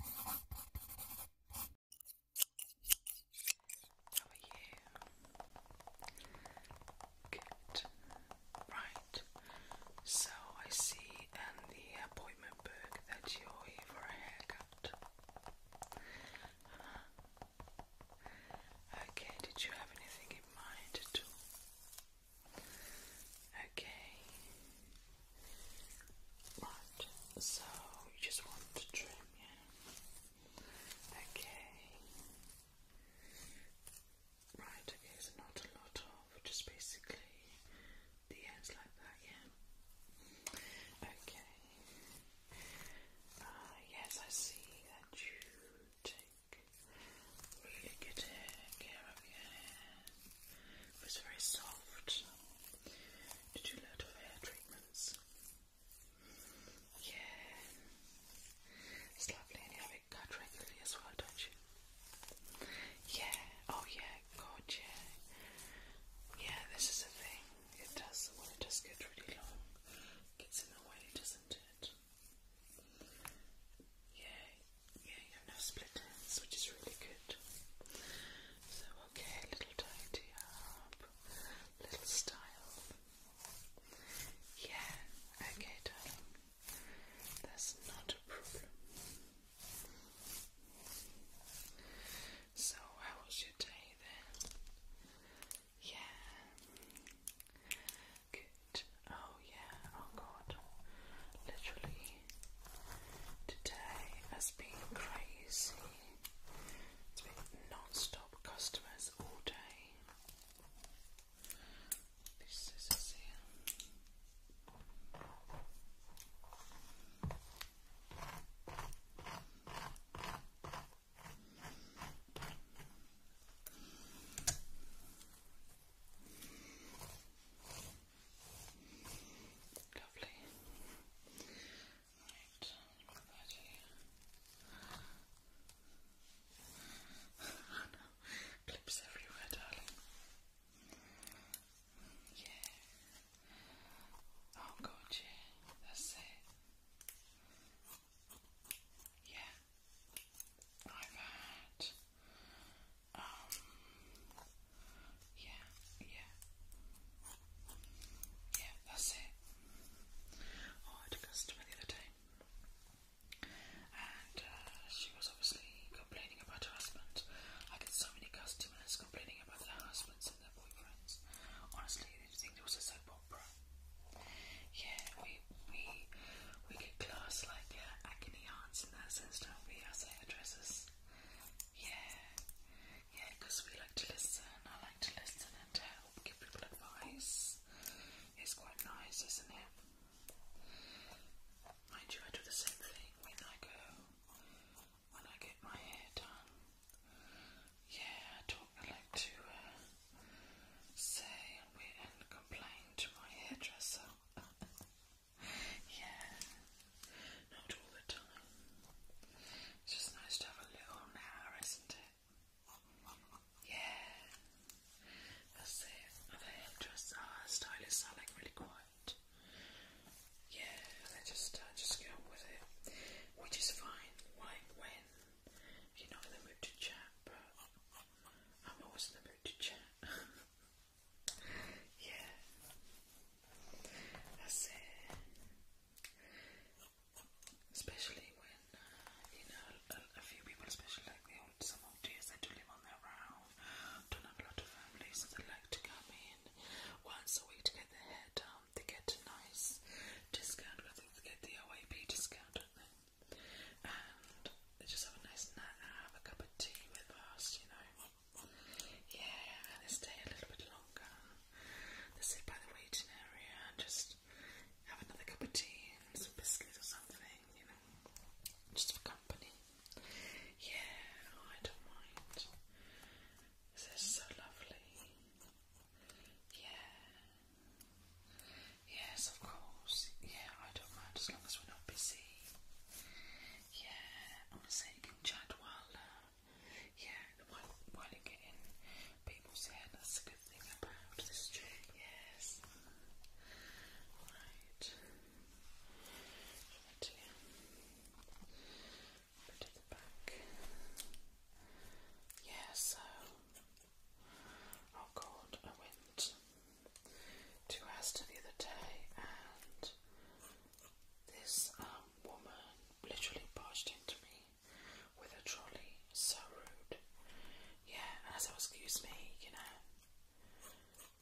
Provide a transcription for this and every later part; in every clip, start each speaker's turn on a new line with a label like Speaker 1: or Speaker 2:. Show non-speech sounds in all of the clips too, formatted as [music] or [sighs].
Speaker 1: How are you? Good. Right. So I see in the appointment book that you're here for a haircut. Okay, did you have anything in mind at all? Okay. Right, so you just want to trim, yeah? Okay. Right, okay, so not a lot of, just basically the ends like that, yeah? Okay. Ah, yes, I see that you take really good care of your hair. It was very soft. Did you a hair treatments? Yeah. It's lovely and you have it cut regularly as well, don't you? Yeah, oh yeah, god yeah. Yeah, this is a thing. It does it does get really long. gets in the way, doesn't it? Yeah, yeah, you have no split ends, which is really good. So, okay, little tidy up, little style. Yeah, okay, darling. That's not a problem. So, how was your day then? Yeah. Good. Oh, yeah. Oh, God. Literally Today has been crazy. It's been non-stop customers all day. These scissors here. Right. Lovely. Right, what [laughs] clips everywhere, darling. Yeah. Oh god, yeah, that's it. Yeah. I've had um, yeah, yeah. Yeah, that's it. Oh, I had a customer the other day. And uh, she was obviously complaining about her husband. I get so many customers complaining about their husbands and their boyfriends. Honestly, they think it was a soap opera. Yeah, we we we get class like uh, agony aunts in that sense, don't we? As hairdressers. Yeah, yeah, because we like to listen. I like to listen and to help give people advice. It's quite nice, isn't it? Mind you, I do the same thing when I go, when I get my hair done. Yeah, I talk. I like to uh, say and complain to my hairdresser. [laughs] Yeah, not all the time. It's just nice to have a little hour, isn't it? Yeah, that's it. Other hairdressers, our uh, stylists are like really quiet. Yeah, they just uh, just get on with it, which is fine. Like when you're not in the mood to chat, but I'm always in the mood to chat. [laughs] Yeah. That's it. Especially when, uh, you know, a, a few people, especially like the old, some old dears, they do live on their own, don't have a lot of family, so they like to come in once a week to get their hair done. They get a nice discount, I think they get the OAP discount, don't they? And they just have a nice nap, have a cup of tea with us, you know. Yeah, and stay a little bit longer. Let's sit by the waiting area and just have another cup of tea and some biscuits or something, you know, just for company. Yeah, I don't mind. This is so lovely. Yeah. Yes, of course. Yeah, I don't mind as long as we're not busy. Yeah, I want to say you can chat while um, yeah, while, you get in, people say that's a good thing about this chair. Yes. Right. Right the back. Yeah, so oh god, I went to Aston the other day and this um, woman literally barged into me with a trolley. So rude. Yeah, and I was, oh, excuse me, you know,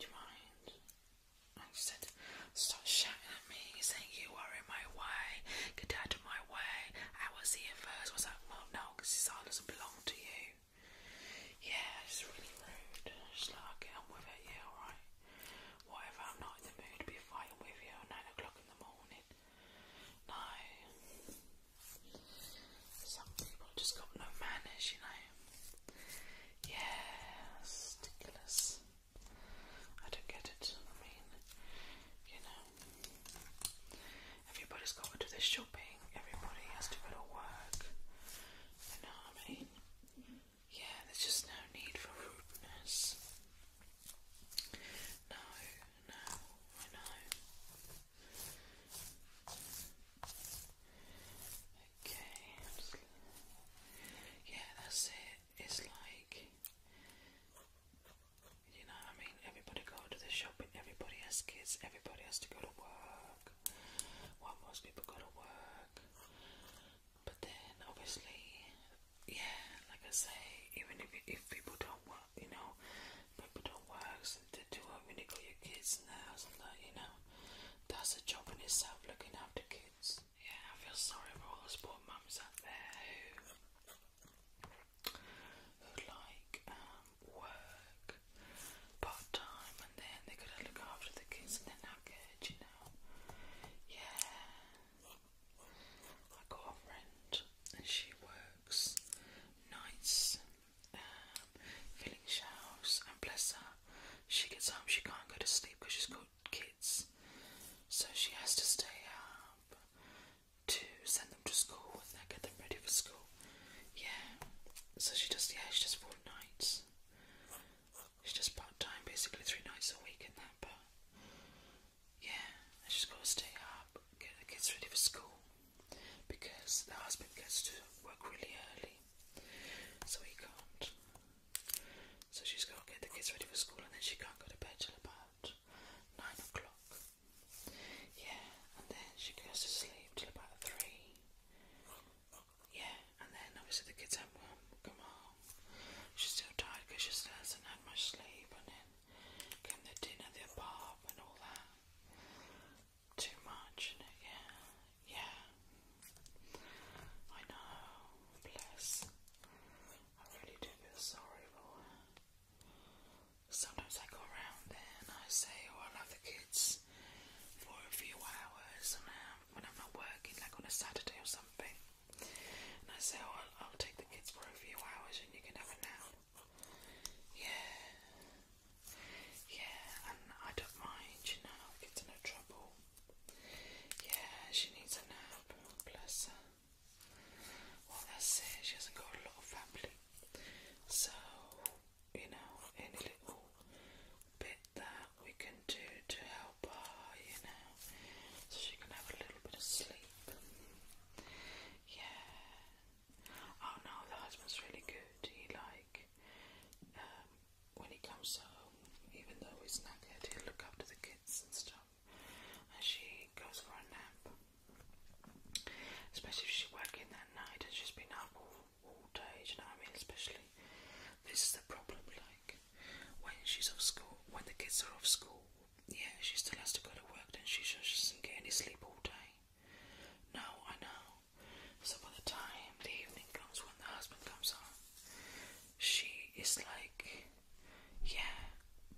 Speaker 1: do you mind? And she said, stop shouting at me, saying you are in my way, get out of my way, I was here first. I was like, well, no, because this all doesn't belong to you. Yeah, it's really rude. She's like, get on with it, yeah, alright. What I'm not in the mood to be fighting with you at nine o'clock in the morning? No. Some people just got no manners, you know. Yeah, ridiculous. I don't get it. I mean, you know, everybody's got to do their shopping. Everybody has to go to work. You know what I mean? Yeah, there's just no need for rudeness. No, no, I know. Okay, yeah, that's it. It's like, you know, I mean, everybody go to the shopping, everybody has kids, everybody has to go to work. Why most people go to work? But then, obviously, yeah, like I say, even if if people don't work, you know, people don't work, so they do it when you got your kids in the house and that, you know, that's a job in itself, looking after kids. Yeah, I feel sorry for all those poor mums out there who. Who like um, work part time and then they gotta look after the kids and they're not good, you know? Yeah, I got a friend and she works nights um, filling shelves and bless her she gets home she can't go to sleep because she's got kids so she has to stay up to send them to school and get them ready for school yeah so she does yeah she does four nights it's just part time, basically three nights a week and that. But yeah, she's gotta stay up, get the kids ready for school, because the husband gets to work really early, so he can't. So she's gotta get the kids ready for school, and then she can't go to bed till about nine o'clock. Yeah, and then she goes to sleep till about three. Yeah, and then obviously the kids have come home. She's still tired because she hasn't had much sleep. And then came the dinner, the pub, and all that. Too much, and yeah, yeah. I know. Bless. I really do feel sorry for her. Sometimes I go around there and I say, "Oh, I love the kids." For a few hours, and when I'm not working, like on a Saturday or something. And I say, oh, I'll, take the kids for a few hours and you can have a nap. Yeah. Yeah, and I don't mind, you know, I'll trouble. Yeah, she needs a nap, Plus, her. Well, that's she hasn't got a lot of family. So, you know, any little bit that we can do to help help her, you know, so she can have a little bit of sleep. Yeah. Oh no, the husband's really good. He like um, when he comes home, even though he's knackered, he'll look after the kids and stuff. And she goes for a nap. Especially if she's working that night and she's been up all, all day, you know what I mean? Especially, this is the problem, like, when she's off school, when the kids are off school, yeah, she still has to go to work, then she just doesn't get any sleep all day. Now I know. So by the time the evening comes, when the husband comes home, she is like, yeah,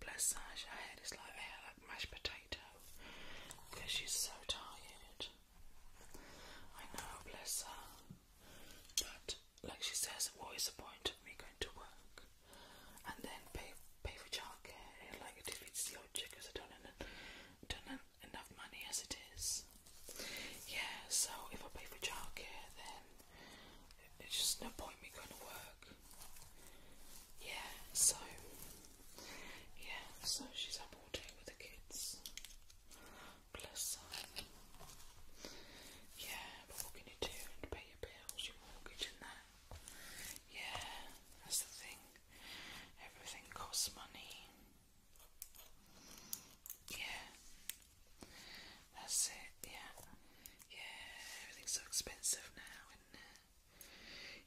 Speaker 1: bless her, her head is like, hair like mashed potato, because she's so tired. I know, bless her. But like she says, what is the point of me going to work and then pay pay for childcare? Like it defeats the object because I don't don't enough money as it is. Yeah, so if I pay for childcare, then it's just no point me going to work. Yeah, so yeah, so she's up all day with the kids. Plus, um, yeah, but what can you do? And pay your bills, your mortgage, and that. Yeah, that's the thing. Everything costs money. Yeah, that's it. Yeah, yeah, everything's so expensive now,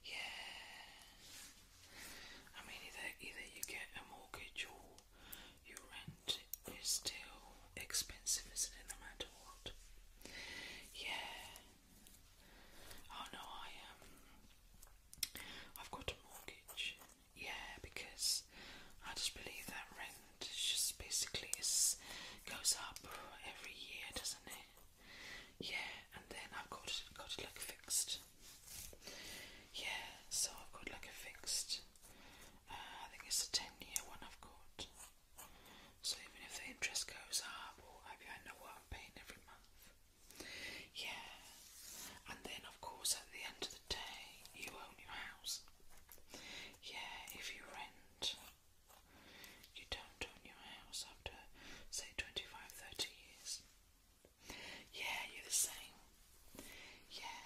Speaker 1: Yeah, I mean, either either you get a mortgage or your rent is still expensive, isn't it? No matter what. Yeah. Oh no, I Um, I've got a mortgage. Yeah, because I just believe that rent is just basically it goes up every year, doesn't it? Yeah, and then I've got it, got it like fixed. Yeah, so I've got like a fixed uh, I think it's a 10 year one I've got. So even if the interest goes up, or maybe I know what I'm paying every month. Yeah. And then, of course, at the end of the day, you own your house. Yeah, if you rent, you don't own your house after, say, 25, 30 years. Yeah, you're the same. Yeah.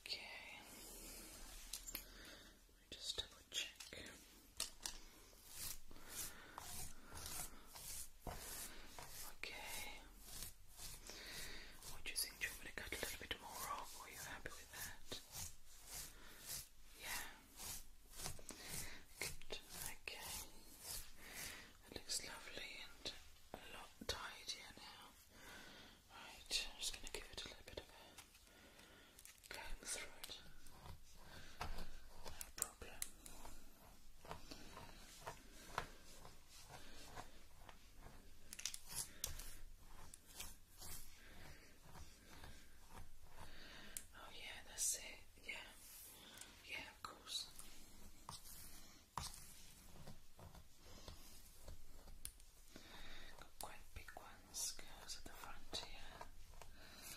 Speaker 1: Okay. Just double check. Okay. What you think? to cut a little bit more off? are you happy with that? Yeah. Good. Okay. That looks lovely and a lot tidier now. Right, I'm just going to give it a little bit of Going through it. No problem. Oh yeah, that's it. Yeah. Yeah, of course. Got quite big ones, girls at the front here.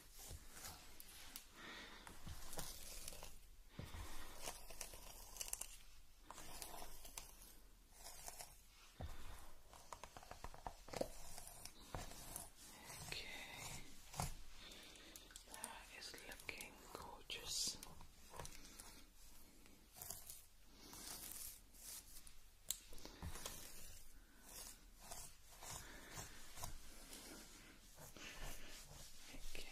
Speaker 1: Okay, that is looking gorgeous. Okay.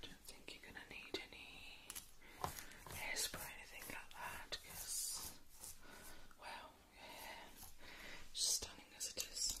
Speaker 1: Don't think you're gonna need any hairspray or anything like that, because well, yeah, stunning as it is.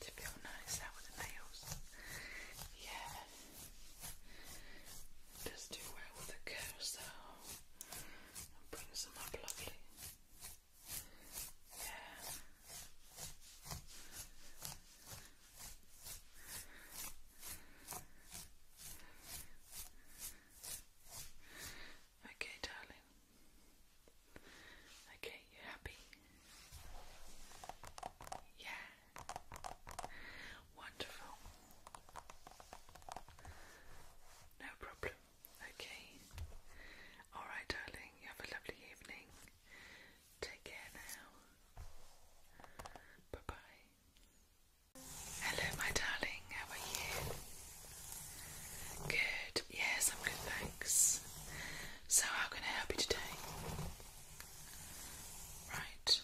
Speaker 1: to feel nice out with the nails. Yeah. Just do well with the carousel and bring some up lovely. Yeah. Okay, darling. Okay, you happy? Yeah. Wonderful. No problem. Okay. All right, darling. You have a lovely evening. Take care now. Bye bye. Hello, my darling. How are you? Good. Yes, I'm good, thanks. So, how can I help you today? Right.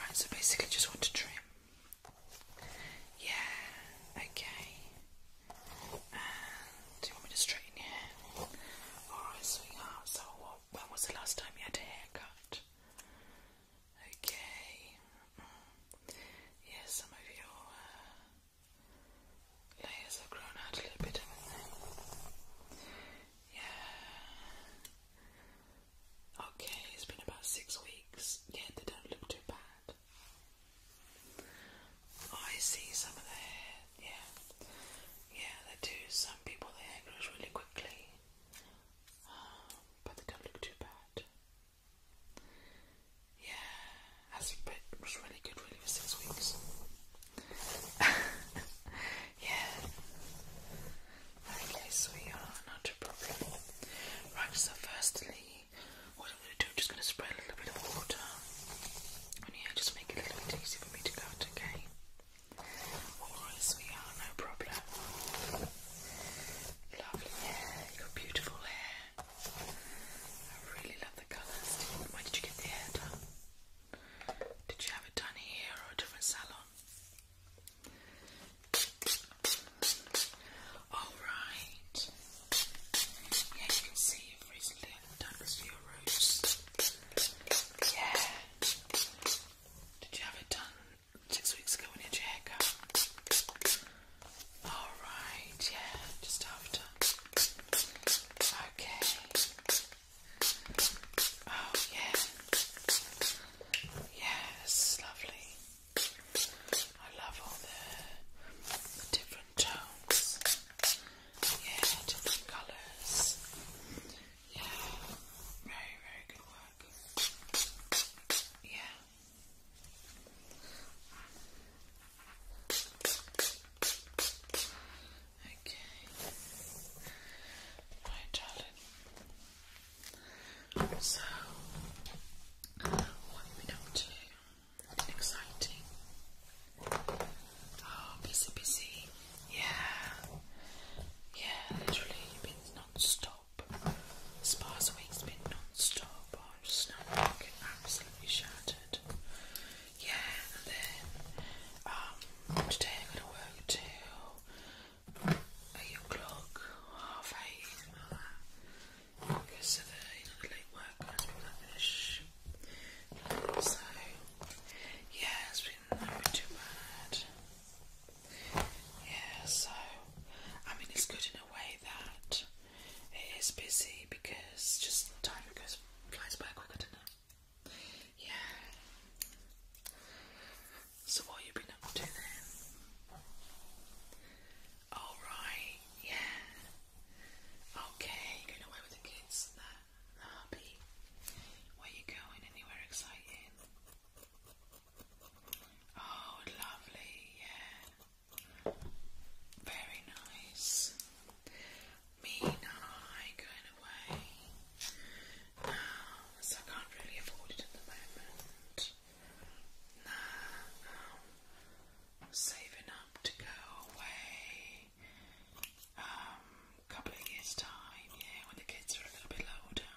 Speaker 1: Right, so basically just want to trim. Yeah, okay. do you want me to straighten your hair? Alright, sweetheart, so when was the last time you had a haircut? Okay. Mm. some of your uh, Layers have grown out a little bit, have Yeah. Okay, it's been about six weeks, yet they don't look too bad. I see some of the hair, yeah. Yeah, they do. Some people, their hair grows really quickly, um, but they don't look too bad. Yeah, that's was really good, really, for six weeks. [laughs] yeah. Okay, sweetheart, not a problem. Right, so firstly, what I'm going to do, just going to spray a little bit of water. yeah, just make it a little bit easy for me to go out, okay? Alright, sweetheart, no problem. Lovely hair, you got beautiful hair. I really love the colours. Where did you get the hair done? Did you have it done here or a different salon? Alright. Yeah, you can see you recently done for your roots. Yeah. Did you have it done six weeks ago when you had your haircut? Alright, yeah, just after. Okay. Oh, yeah. Yeah, lovely. I love all the different tones. Yeah, different colours. Yeah, very, very good work. Yeah. Okay. Right, darling. So, what we been up to? exciting. Oh, busy, busy. Yeah. Yeah, literally, been non-stop. has been non I'm just now absolutely shattered yeah, and then um, today I'm gonna work till eight o'clock, half eight, like because of the you late work and people like finish. So yeah, it's been not too bad. Yeah, so I mean it's good in a way that it is busy because just time goes flies by quicker, doesn't it? Yeah. So what you been up to then? All oh, right. Yeah. Okay. going away with the kids. That happy. Where you going? Anywhere exciting? Oh, lovely. Yeah. Very nice mean high kind of way. Um, so I can't really afford it at the moment. Nah, um, saving up to go away. Um, couple of years time, yeah, when the kids are a little bit older.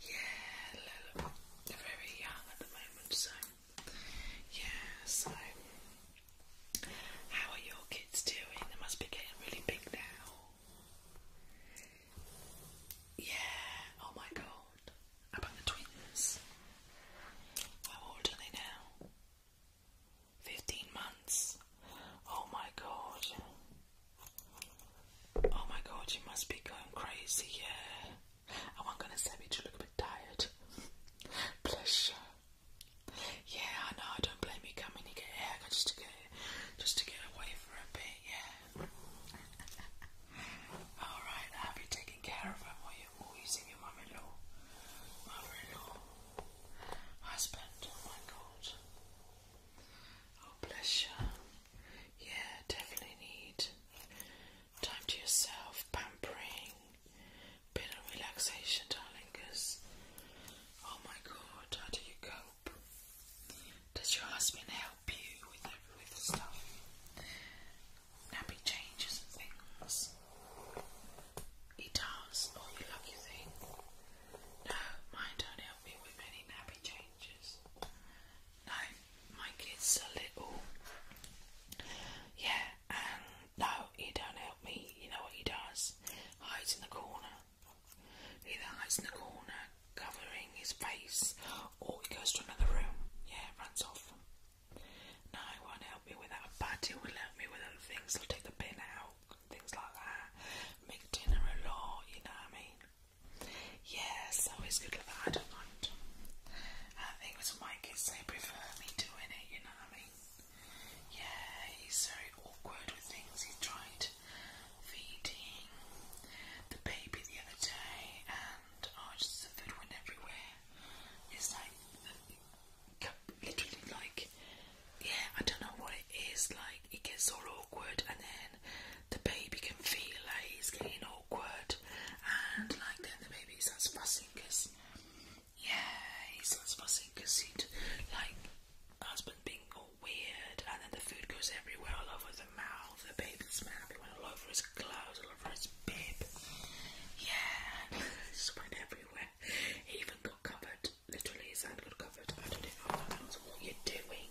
Speaker 1: Yeah, they're very young at the moment, so yeah, so how are your kids doing? They must be getting really big now. Yeah, oh my god. about the twins? How old are they now? 15 months. Oh my god. Oh my god, you must be going crazy, yeah. Oh, i gonna say you look a bit tired. Pleasure. Yeah, I know. I don't blame you coming to get hair just to get just to get away for a bit. Yeah. [laughs] All right. I have you taken care of him while you're using your mother law mother law husband. Oh my God. Oh bless you. Yeah, definitely need time to yourself, pampering, bit of relaxation, darling, because oh my god, how do you cope? Does your husband help you with the, with stuff? Nappy changes and things. He does. Oh, you lucky thing. No, mine don't help me with any nappy changes. No, my kids are little. Yeah, no, he don't help me. You know what he does? Hides in the corner. He either hides in the corner, covering his face, or he goes to another room. Yeah, runs off. No, he won't help me without a but he will help me with other things. He'll take the pin out, things like that. Make dinner a lot, you know what I mean? Yeah, so it's good like I don't mind. I think it was my kids, they prefer me doing it, you know what I mean? Yeah, he's very awkward with things. He tried feeding the baby the other day, and oh, just the food went everywhere. It's like literally like yeah, I don't know what it is. Like it gets all awkward, and then the baby can feel like he's getting awkward, and like then the baby starts fussing because yeah, he's not supposed to because he like husband being all weird, and then the food goes everywhere, all over the mouth. The baby's mouth, it went all over his clothes, all over his bib. Yeah, it [laughs] went everywhere. He even got covered. Literally, his hand got covered. I don't know what that you're doing?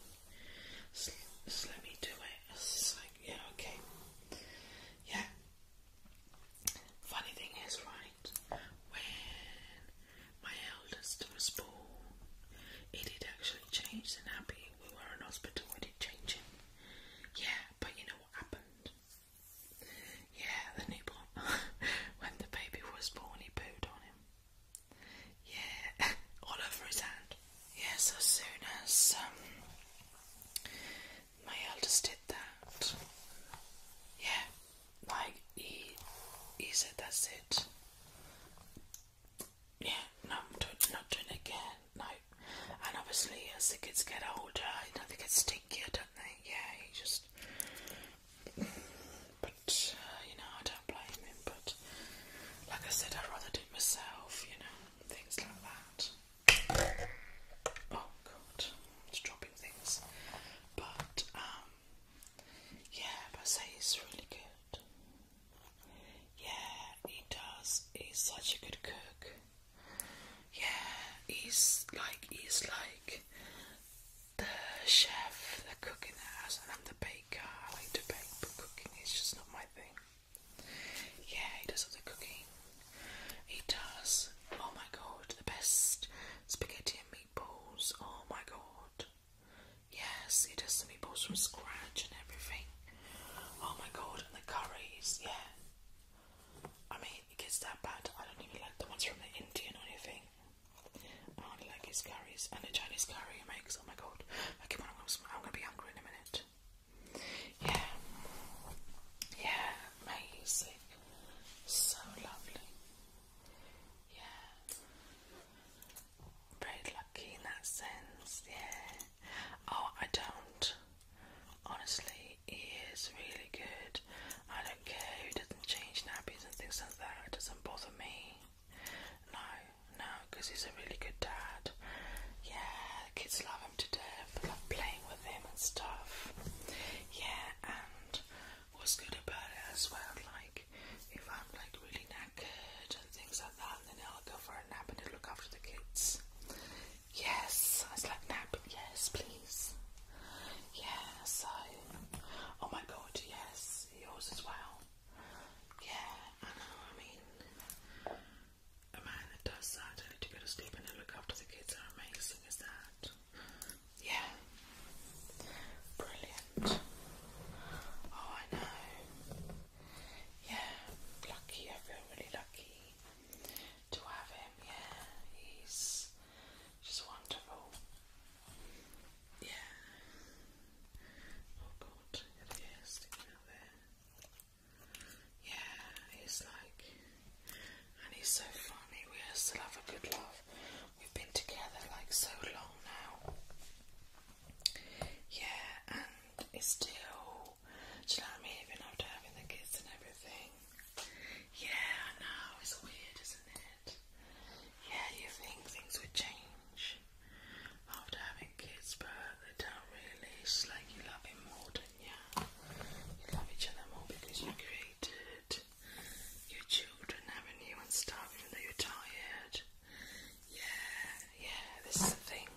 Speaker 1: Just, let me do it. It's like, yeah, okay. Yeah, Funny thing is, right, when my eldest was born, it did actually change And nappy. We were in hospital, It did change it. Yeah, but you know what happened? Yeah, the newborn. [laughs] when the baby was born, he pooed on him. Yeah, [laughs] all over his hand. Yeah, so soon as um, my eldest did that, yeah, like he he said that's it. Yeah, no, not doing it again. No, and obviously as the kids get older, they get stinkier, don't they? Yeah, he just. But uh, you know, I don't blame him. But like I said, I'd rather do it myself. You know, things like that. Oh God to dropping things. But um yeah, but I say it's really good. Yeah, he does. He's such a good cook. Yeah, he's like he's like the chef, the cook in the house, and I'm the baker. I like to bake, but cooking is just not my thing. Yeah, he does all the cooking. He does. Oh my god, the best spaghetti and meatballs. Oh my god. Yes, he does the meatballs from scratch and everything. Oh my god, and the curries, yeah. I mean, it gets that bad. I don't even like the ones from the Indian or anything. I only like his curries and the Chinese curry he makes. Oh my god. Okay, I'm gonna be hungry in a minute. Yeah. Yeah, amazing. So lovely. Yeah. Very lucky in that sense, yeah. Oh, I don't. Honestly, he is really good. I don't care, he doesn't change nappies and things like that. It doesn't bother me. No, no, because he's a really good dad. Yeah, the kids love him to death. They love playing with him and stuff. Yeah, and what's good about it as well. Like if I'm like really knackered and things like that, then I'll go for a nap and look after the kids. Yes, I like nap. Yes, please. Yes, I. Oh my God, yes, yours as well. Yeah, I know. I mean, a man that does that, I need to go to sleep and then look after the kids. How amazing is that? Yeah. Brilliant. Oh, I know. Yeah, lucky. I feel really lucky to have him. Yeah, he's just wonderful. Yeah. Oh God, there Yeah, he's like and he's so funny. We still have a good laugh. We've been together like so long now. Yeah, and it's still, do you know what I Even after having the kids and everything. Yeah, I know, it's weird, isn't it? Yeah, you think things would change after having kids, but they don't really. It's like you love him more, than not you? You love each other more because you created tired. Your children having you and stuff, and though you're tired. Yeah, yeah, this is the thing.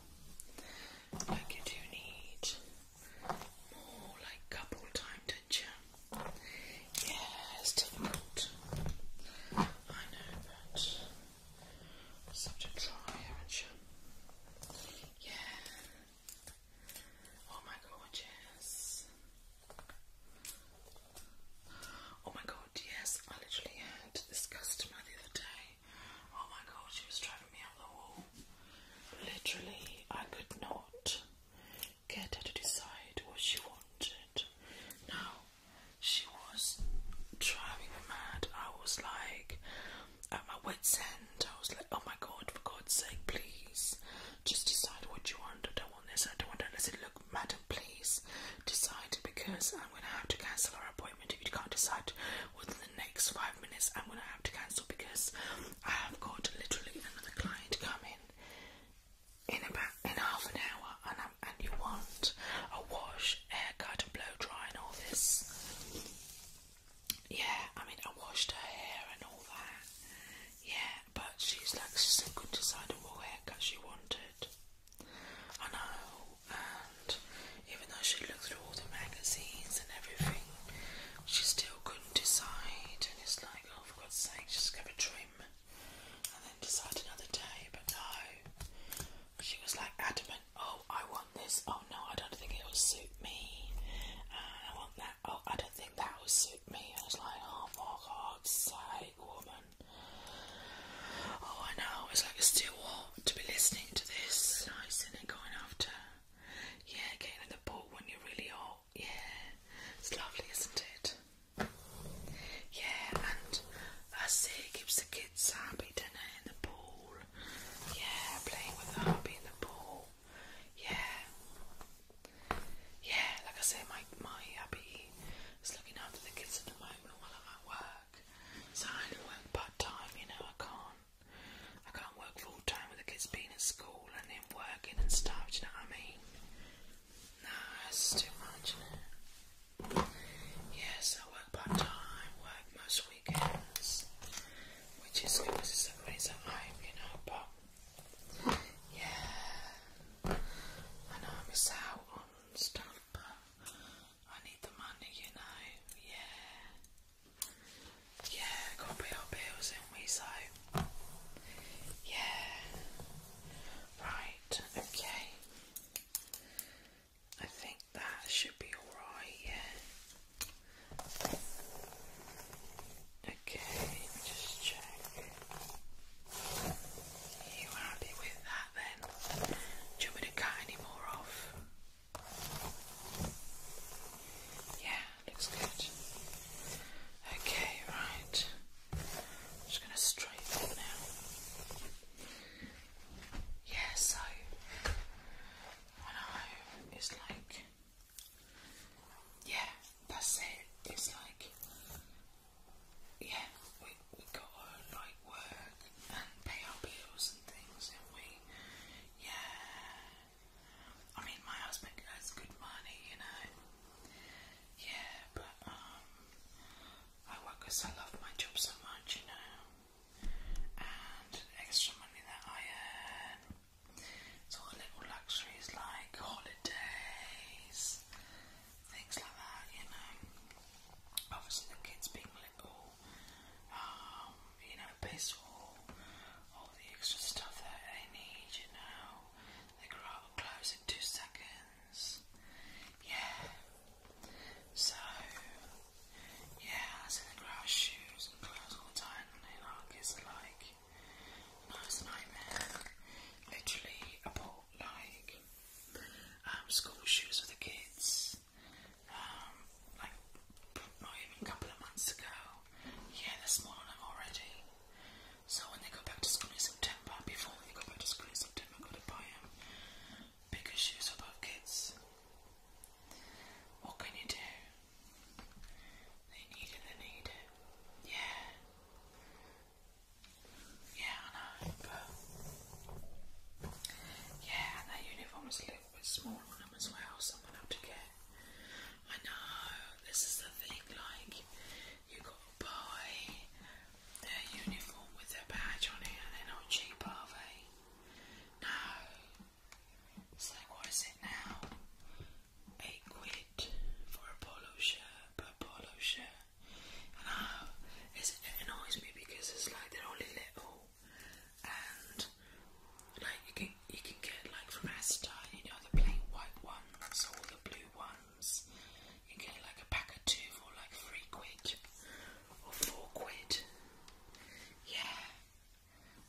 Speaker 1: Like you do need more like couple time, don't Yeah, it's difficult. I know, but such a try, haven't you? Yeah. Oh my god, Oh my god, yes, I literally had this customer the other day. Oh my god, she was driving me up the wall. Literally, I could not get her to decide what she wanted. Now, she was driving me mad. I was like, at my wit's end, I was like, oh my god, for God's sake, please just decide what you want. I do I don't want to listen. Look, madam, please decide because I'm going to have to cancel our appointment. If you can't decide within the next five minutes, I'm going to have to cancel because I have got literally another client coming in about in half an hour, and I'm, and you want a wash, haircut, and blow dry, and all this. Yeah, I mean, I washed her hair and all that. Yeah, but she's like, she couldn't decide what haircut she wanted. I know, and even though she looked through all the magazines and everything, she still couldn't decide. And it's like, oh, God's sake, just go a trim and then decide another day. But no, she was like adamant, oh, I want this, oh no, I don't think it will suit me, uh, I want that oh, I don't think that would suit me. I was like, oh my god's sake, woman. Oh, I know, it's like too hot to be listening to this. It's nice, is it, going after? Yeah, getting in the pool when you're really hot. Yeah, it's lovely, isn't it? Yeah, and I see it, keeps the kids happy, dinner in the pool. Yeah, playing with the hubby in the pool yeah, yeah. Like I say, my my hubby is looking after the kids at the moment while I'm at work. So I work part time. You know, I can't I can't work full time with the kids being at school and then working and stuff. you know what I mean? Nah, that's too much. Yes, I work part time. Work most weekends, which is good because it's a reason I'm, you know, but. Yeah. I know I miss out on stuff, but I need the money, you know. Yeah. Yeah, gotta pay our bills, and we so. Yeah. Right, okay. I think that should be alright, yeah. Okay, let me just check. you happy with that then? Do you want to cut any more off? Yeah, looks good. Okay, right. just going to straighten it now. Yeah, so I know it's like yeah, that's it. It's like, yeah, we we gotta like work and pay our bills and things, and we, yeah. I mean, my husband has good money, you know. Yeah, but um, I work 'cause I love my job so much, you know. And extra money that I earn sort of little luxuries like holidays, things like that, you know. Obviously, the kids being little, um, you know, pays for all, all the extra stuff that they need, you know. They grow up and close in two seconds. Yeah. So, yeah, I see they grow out shoes and clothes all the time, and you know, kids are like, Nice nightmare. Literally, I like um, school shoes for the kids. Um, like not even a couple of months ago. Yeah, they're already. So when they go back to school in September, before they go back to school in September, I'm gonna buy them bigger shoes for both kids. What can you do? They need it, they need it. Yeah. Yeah, I know, yeah, and that uniform is a little bit small on them as well, so I'm gonna have to get. I know this is the thing, like you gotta buy their uniform with their badge on it, and they're not cheap, are they? No. It's what is it now? eight quid for a polo shirt, per polo shirt. And uh, I, it annoys me because it's like they're only little, and like you can you can get like from Asda, you know, the plain white ones or the blue ones. You can get like a pack of two for like three quid or four quid. Yeah.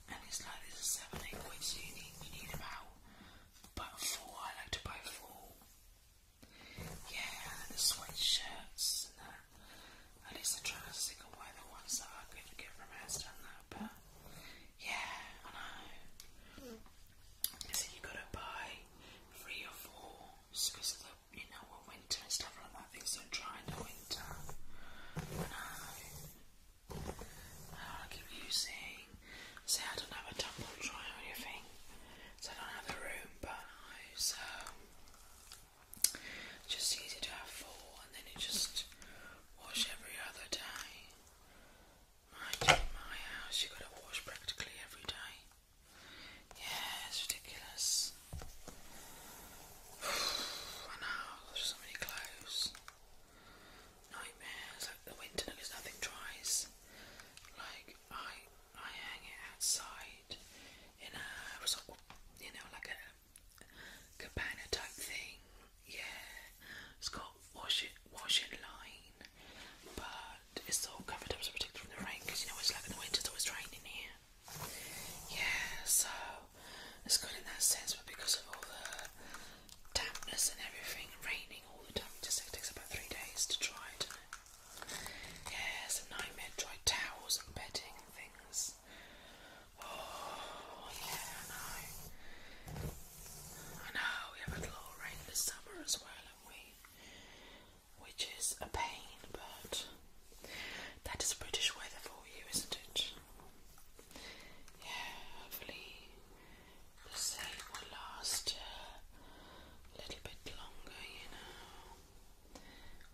Speaker 1: And it's like this seven, eight quid, so you need, you need about but four, I like to buy four. Yeah, the sweatshirts and that. At least I try to stick away the ones that I could get from Asda and that, but yeah, I know. So you gotta buy three or four because of the, you know, winter and stuff like that, things don't dry in the winter. I know. Oh, i keep using. See, I don't have a tumble dryer or anything, so I don't have the room, but I so um, just easy to have four, and then you just wash every other day. Mind you, in my house, you gotta wash practically every day. Yeah, it's ridiculous. [sighs] I know, so many clothes nightmares. Like the winter, because nothing dries. Like I, I hang it outside in a, you know, like a cabana type thing. Yeah, it's got wash it, wash it line, but it's all covered up protected from the rain. Because you know it's like in the winter, it's always raining here. Yeah, so it's good in that sense, but because of all the dampness and everything, raining all the time. Just takes about three days to dry, Yeah, it's a nightmare. Dry towels and bedding and things. Oh, yeah, I know. I know, we have a lot rain this summer as well, have we? Which is a pain, but that is British weather for you, isn't it? Yeah, hopefully the save will last a little bit longer, you know.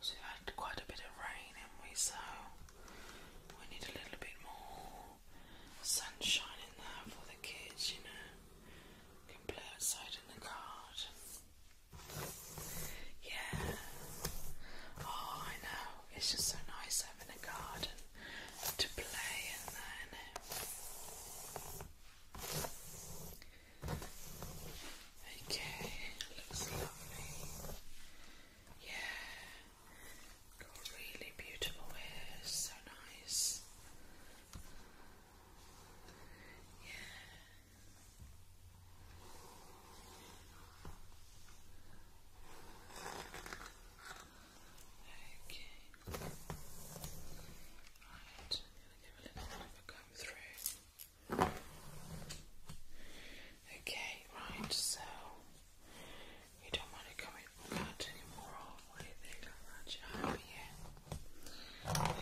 Speaker 1: So we had quite a bit of rain, haven't we? So we need a little bit more sunshine in there for the kids, you know. can play outside in the card. Yeah. Oh, I know. It's just so nice having a garden to play in then okay, looks lovely. Yeah, got really beautiful hair, so nice. Yeah. Okay. Right, I'm going to give a little bit of a comb through. Okay, right, so you don't want to comb out anymore,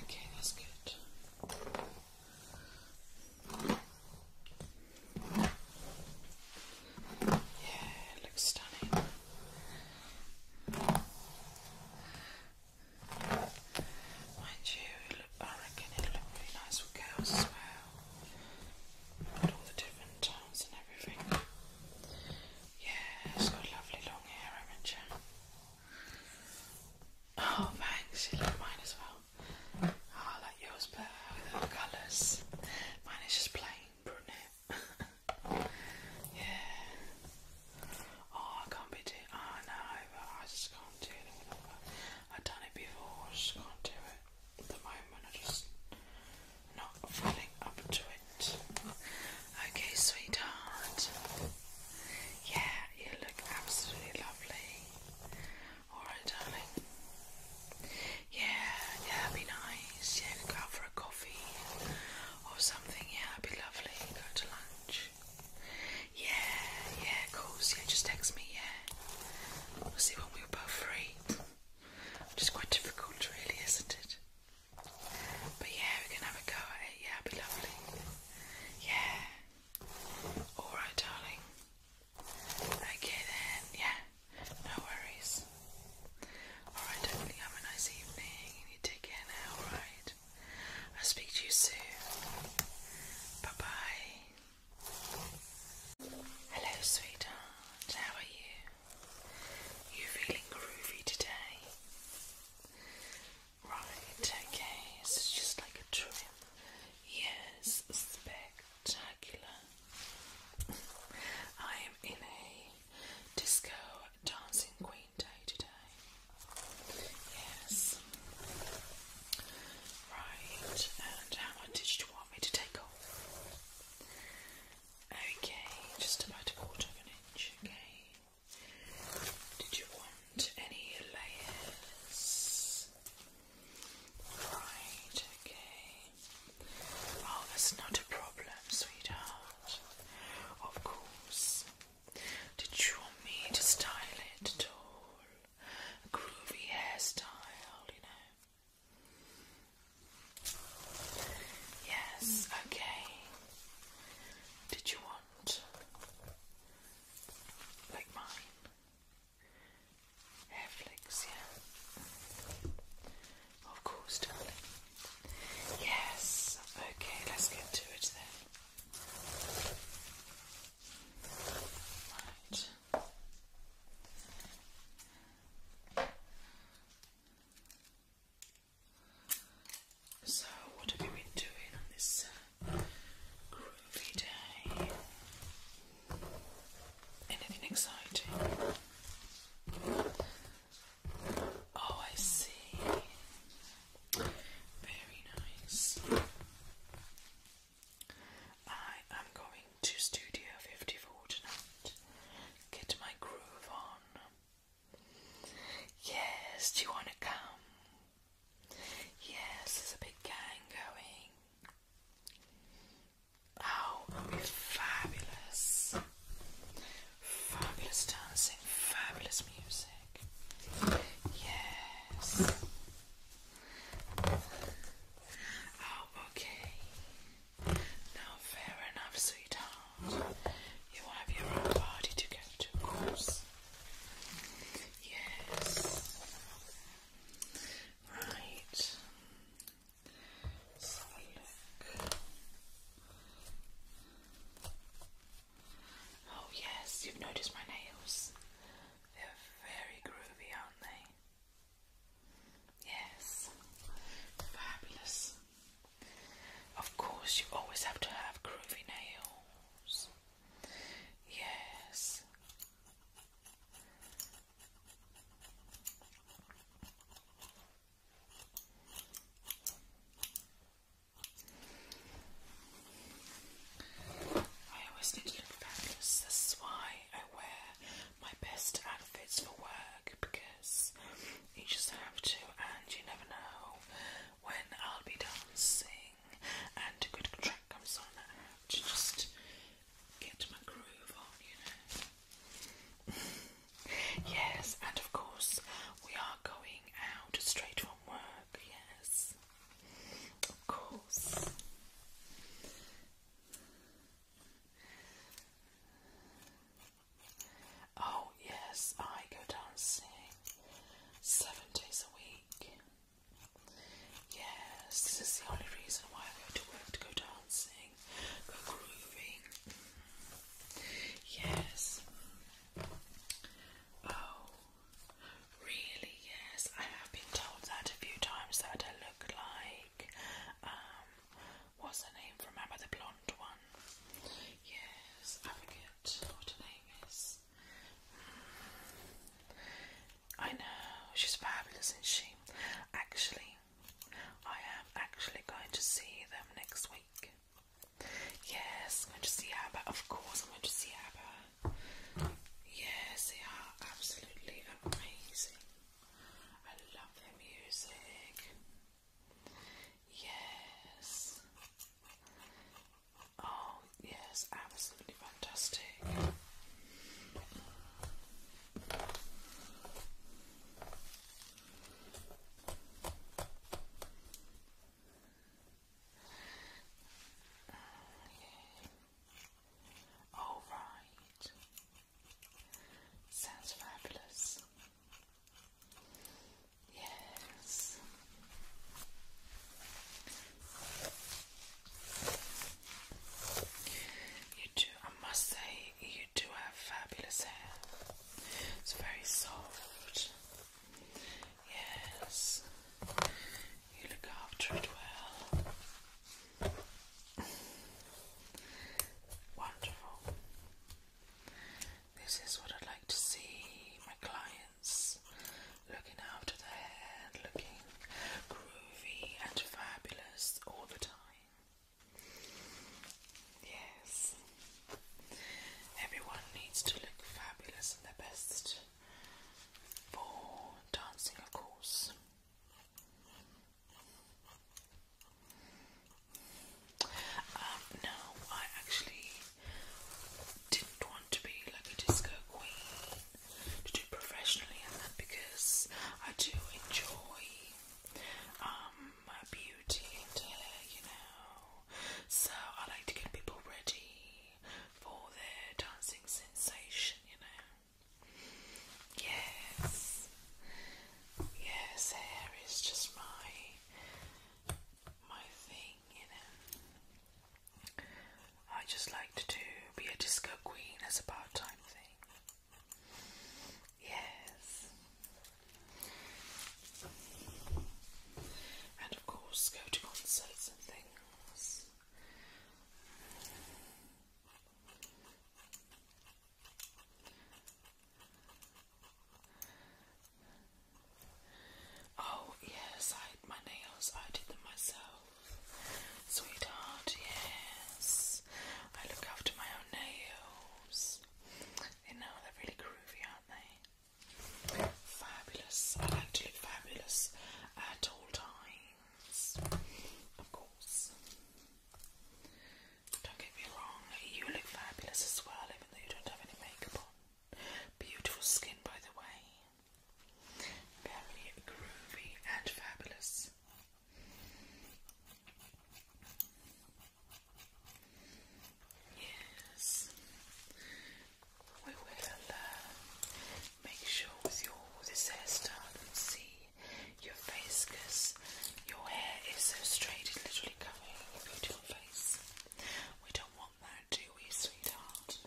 Speaker 1: Okay, that's good. Yeah, it looks stunning. Mind you, I reckon it'll look really nice for girls as well. And all the different tones and everything. Yeah, it's got lovely long hair, have Oh, thanks. You like mine as well. Oh, I like yours better with the colours. Mine is just plain brunette yeah. Oh, I can't be doing. Oh, I know, but I just can't do it. i done it before. just can't do it at the moment. I just not feeling up to it. Okay, sweetheart. Yeah, you look absolutely lovely. Alright, darling. Yeah, yeah, would be nice. Yeah, go out for a coffee or something. Yeah, it would be lovely. Go to lunch. Yeah, yeah, of course. Yeah, just text me. Yeah, we'll see when we're both free. Which is quite difficult, really, isn't it? But yeah, we can have a go at it. Yeah, it'd be lovely. Yeah. All right, darling. Okay then. Yeah. No worries. Alright, have a nice evening you take care now, alright? I'll speak to you soon. Bye bye. Hello, sweetheart. How are you? You feeling groovy today? Right, okay. So it's just like a trim. Yes, spectacular. I am in a disco Dancing Queen Day today. Yes. Right, and how much did you want me to take off? Okay, just about a quarter of an inch, okay. Did you want any layers? Right, okay. Oh, that's not a problem, sweetheart. Of course. Did you want me to style it at all? A groovy hairstyle, you know? Yes, okay. Did you want like mine? Hair flicks, yeah. Of course, darling. Yes, okay, let's get to it then. Right. So, what have you been doing on this uh, groovy day? Anything exciting? Oh, I see. Very nice. I am going to Studio 54 tonight. Get my groove on. Yes, do you want to come? Yes, there's a big gang going. Oh, it'll be fabulous. Fabulous dancing, fabulous music. Yes. Oh, okay. Now, fair enough, sweetheart. You have your own party to go to, of course. Yes. Right. Oh, yes, you've noticed my nails. They're very groovy, aren't they? Yes, fabulous. Of course, you always have to have groovy nails. Yes. I always need to look fabulous. This is why I wear my best outfits for work because you just have to, and you never know when I'll be dancing and a good track comes on. I to just get my groove on, you know yes, and of course, we are going out straight from work, yes, of course. Oh, yes, I go dancing seven days a week. Yes, this is the only reason why I go to work to go dancing grooving. Yes. Oh, really? Yes. I have been told that a few times that I look like um, what's her name from the blonde one? Yes, I forget what her name is. Hmm. I know she's fabulous, isn't she? Actually, I am actually going to see them next week. Yes, I'm going to see Abba. Of course, I'm going to see Abba. Yes, they are absolutely amazing. I love their music. Yes. Oh, yes, absolutely fantastic. Okay. All right. Sounds fabulous. Yes. You do, I must say, you do have fabulous hair. It's very soft. Yes. You look after it well. Wonderful. This is what I'd like to see my clients looking after their hair, looking groovy and fabulous all the time. Yes. Everyone needs to look fabulous and their best for dancing, of course. Um, now, I actually didn't want to be like a disco queen to do professionally and that because I do enjoy um, my beauty and hair, uh, you know. So I like to get people ready for their dancing sensation, you know. Yes, yes, hair is just my my thing, you know. I just like to be a disco queen as a part-time thing. Yes. And of course, go to concerts and things. Oh, yes, I my nails, I did them myself. Sweetheart, yes. I look after my own nails. You know, they're really groovy, aren't they? Fabulous. I like to look fabulous at all times. Of course. Don't get me wrong, you look fabulous as well, even though you don't have any makeup on. Beautiful skin, by the way. Very groovy and fabulous. Yes. We will uh, make sure with your this hairstyle see your face because your hair is so straight it's literally covering your face. We don't want that, do we, sweetheart?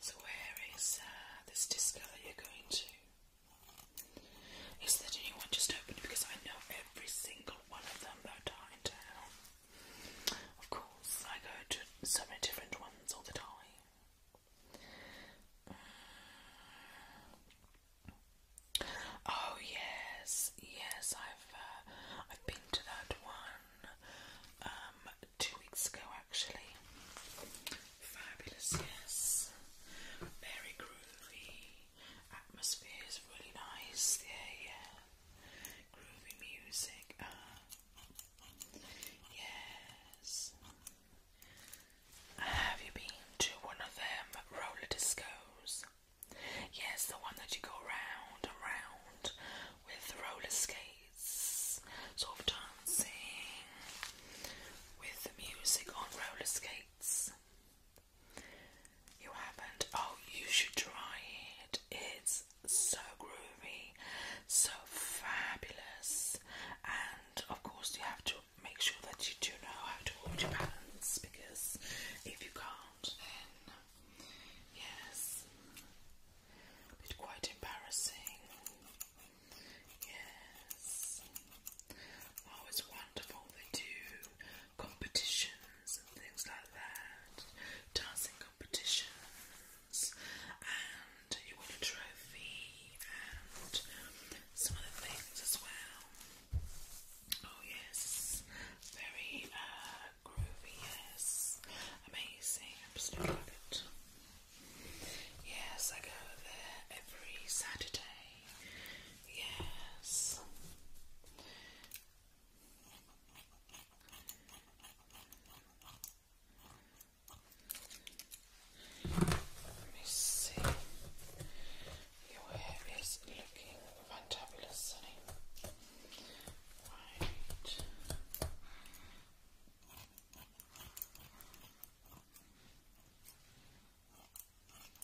Speaker 1: So, where is uh, this disc that you're going to? Is there a just opened? Because I know every single one of them that are in Of course, I go to so many different ones all the time. Oh yes, yes, I've uh, I've been to that one um, two weeks ago actually. Fabulous, yes, very groovy atmosphere is really nice. Yeah, yeah. Groovy music. Uh, yes. Have you been to one of them roller discos? Yes, the one that you go round and round with roller skates, sort of dancing with music on roller skates. You haven't? Oh, you should try it. It's so groovy, so fabulous, and of course, you have to make sure that you do know how to hold your balance because if you can't, then yes, it's quite embarrassing. Yes. Oh, it's wonderful. They do competitions and things like that, dancing competitions, and you won a trophy and some other things as well. Oh yes, very uh, groovy, yes, amazing, absolutely love it. Yes, I go there every Saturday. Yes, let me see. Your hair is looking fantabulous, Sunny. Right.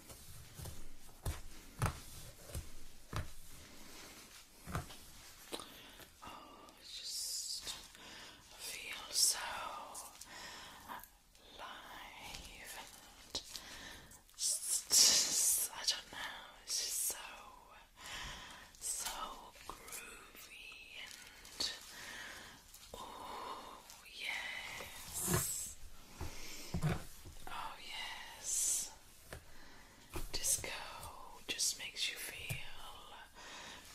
Speaker 1: Oh, it's just I so alive and just, just, it's just so so groovy and oh yes. Oh, yes. Disco just makes you feel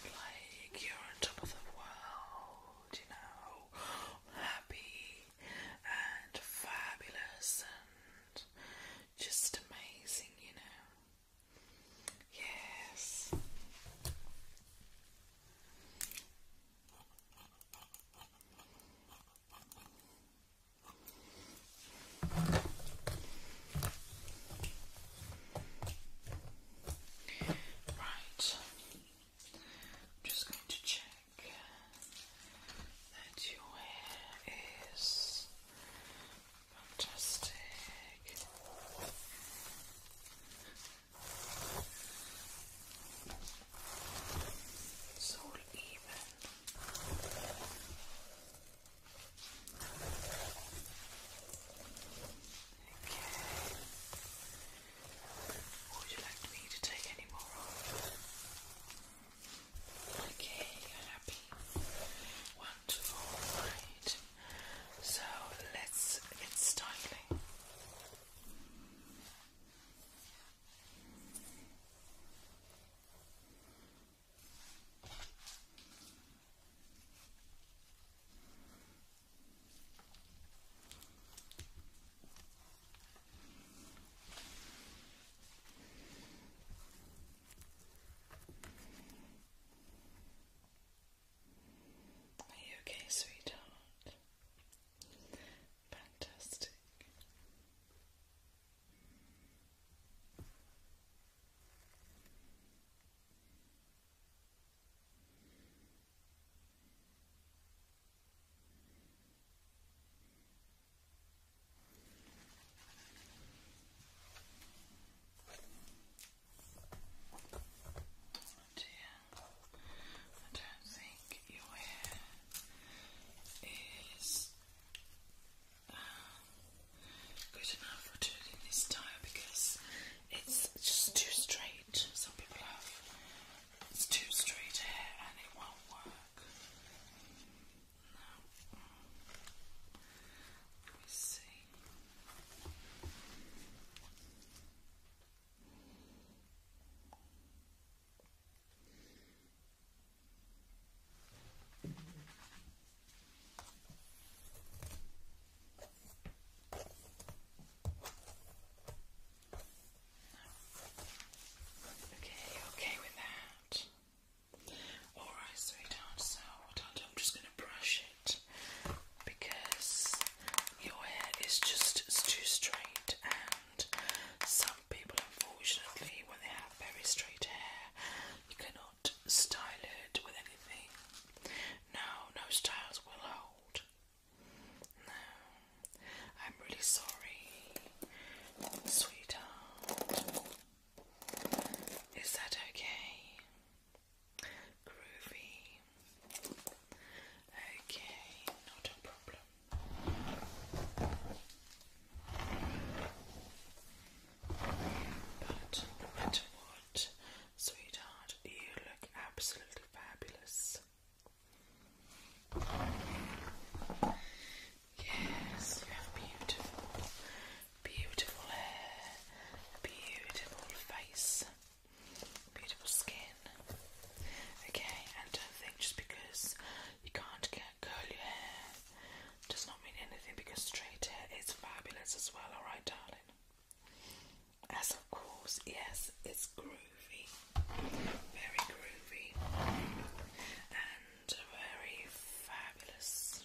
Speaker 1: like you're on top of the world, you know, happy and fabulous and just amazing, you know. Yes. Right. I'm just going to check that your hair is fantastic. It's even. Would you like me to take any more off? Okay, happy. Wonderful, So let's get styling. Are you okay, sweetheart? Fantastic. Oh I don't think your hair is um, good enough for doing this style because it's just too straight. Some people have it's too straight hair and it won't work. No. Let me see. Okay, okay with that. All right, sweetheart. So i am just going to brush it because your hair is just too straight, and some people, unfortunately, when they have very straight hair, you cannot style it with anything. No, no styles will hold. No, I'm really sorry, sweetheart. Is that okay? Groovy. Okay, not a problem. But no matter what, sweetheart, you look absolutely fabulous. Yes, you have beautiful, beautiful hair, beautiful face, beautiful skin. Okay, and don't think just because you can't get curly hair does not mean anything because straight hair is fabulous as well, alright, darling? As of course, yes, it's groovy, very groovy, and very fabulous.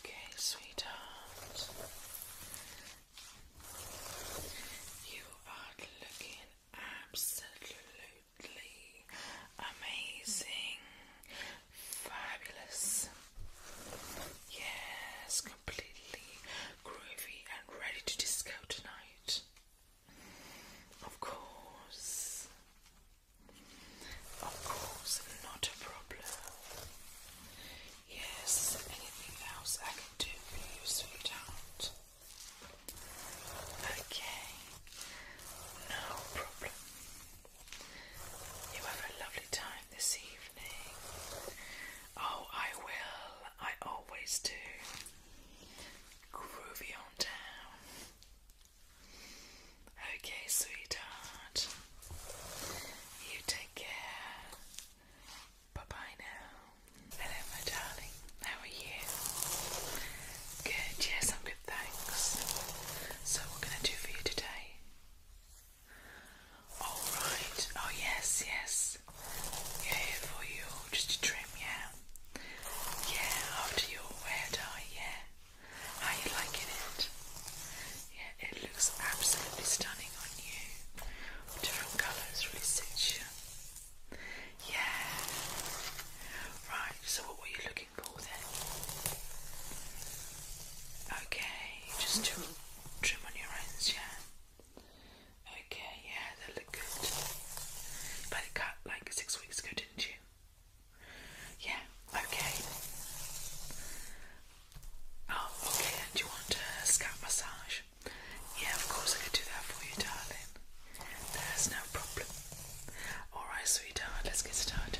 Speaker 1: Okay, sweetheart. You are looking absolutely amazing, fabulous. Yes, completely groovy and ready to disco tonight. Of course. Of course, not a problem. Yes, anything else I can do for you, sweetheart? Okay, no problem. You have a lovely time this evening. Oh, I will. I always do. Groovy on down. Okay, sweetheart. You take care. Bye bye now. Hello, my darling. How are you? Good, yes, I'm good, thanks. So, what can I do for you today? Alright, oh yes, yes. Yeah, for you, just to trim, yeah. Yeah, after your hair dye, yeah are you liking it? Yeah, it looks absolutely stunning on you. Different colours really suit you. Yeah. Right, so what were you looking for then? Okay, just to trim on your ends, yeah? Okay, yeah, they look good. You had it cut like six weeks ago, didn't you? Yeah, okay. Oh, okay, and you want a scalp massage? Yeah, of course I could do that for you, darling. There's no problem. Alright, sweetheart, let's get started.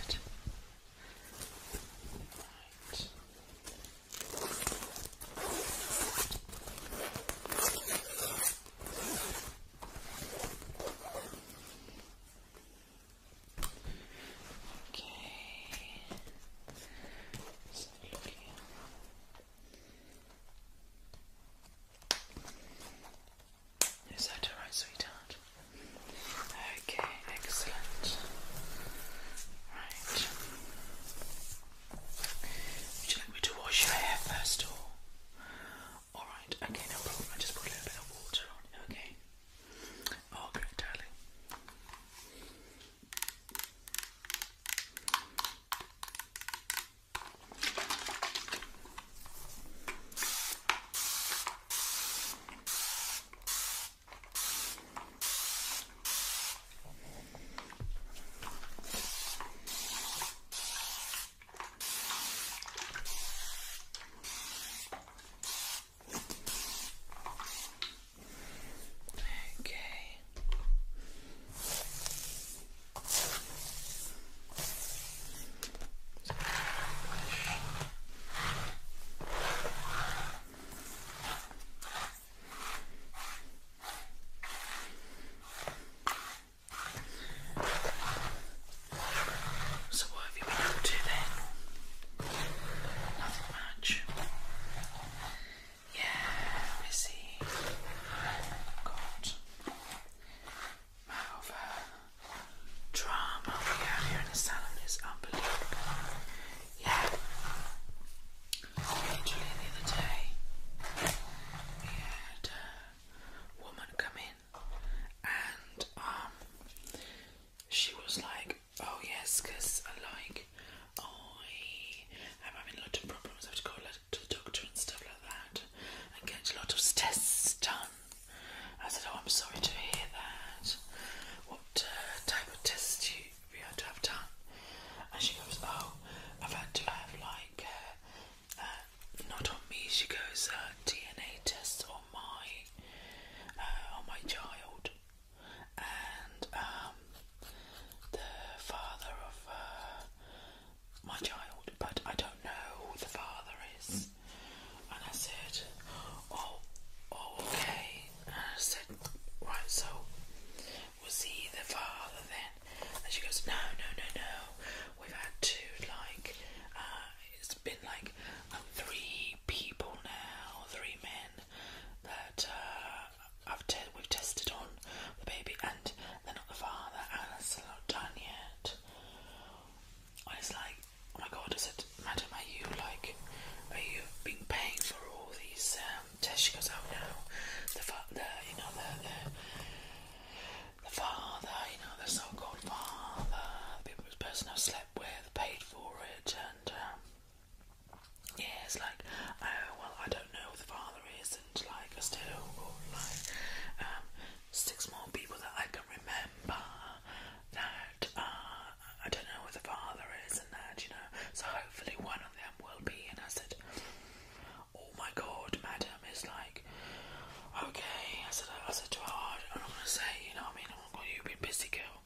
Speaker 1: Is that alright, sweetheart? Okay, excellent. Right. Would you like me to wash your hair first or? Alright, okay, no problem. I just put a little bit of water on okay? Oh, okay, darling. Okay. So what have you been up to then? Nothing much. Yeah, busy. God. Mouth drama we have here in the salon is unbelievable. Yeah. Literally the other day we had a woman come in and um she was like, Oh, yes, because I uh, like, I am having a lot of problems. I have to go to the doctor and stuff like that and get a lot of tests done. I said, Oh, I'm sorry to hear that. What uh, type of tests do you have to have done? And she goes, Oh, I've had to have like, uh, not on me, she goes, uh, DNA test on my, on my child and um, the father of uh, my child, but I don't know who the father is. Mm. And I said, oh, oh, okay. And I said, right, so we'll see the father then? And she goes, no, no, no, no. We've had two, like, uh, it's been like um, three people now, three men that uh, I've te we've tested on the baby, and they're not the father, and it's not done yet. I was like, oh my god, does it? madam, are you like, are you being paid for all these um, tests? She goes, oh no, the, the you know, the, the father, you know, the so-called father, the people, person I've slept with, paid for it, and um, yeah, it's like, oh well, I don't know who the father is, and like I still got like um, six more people that I can remember that uh, I don't know who the father is, and that you know. So hopefully one of them will be. And I said, oh my god, madam, it's like, okay. I said, I said to her, I'm not gonna say, you know, what I mean, I'm oh my god, you've been busy, girl.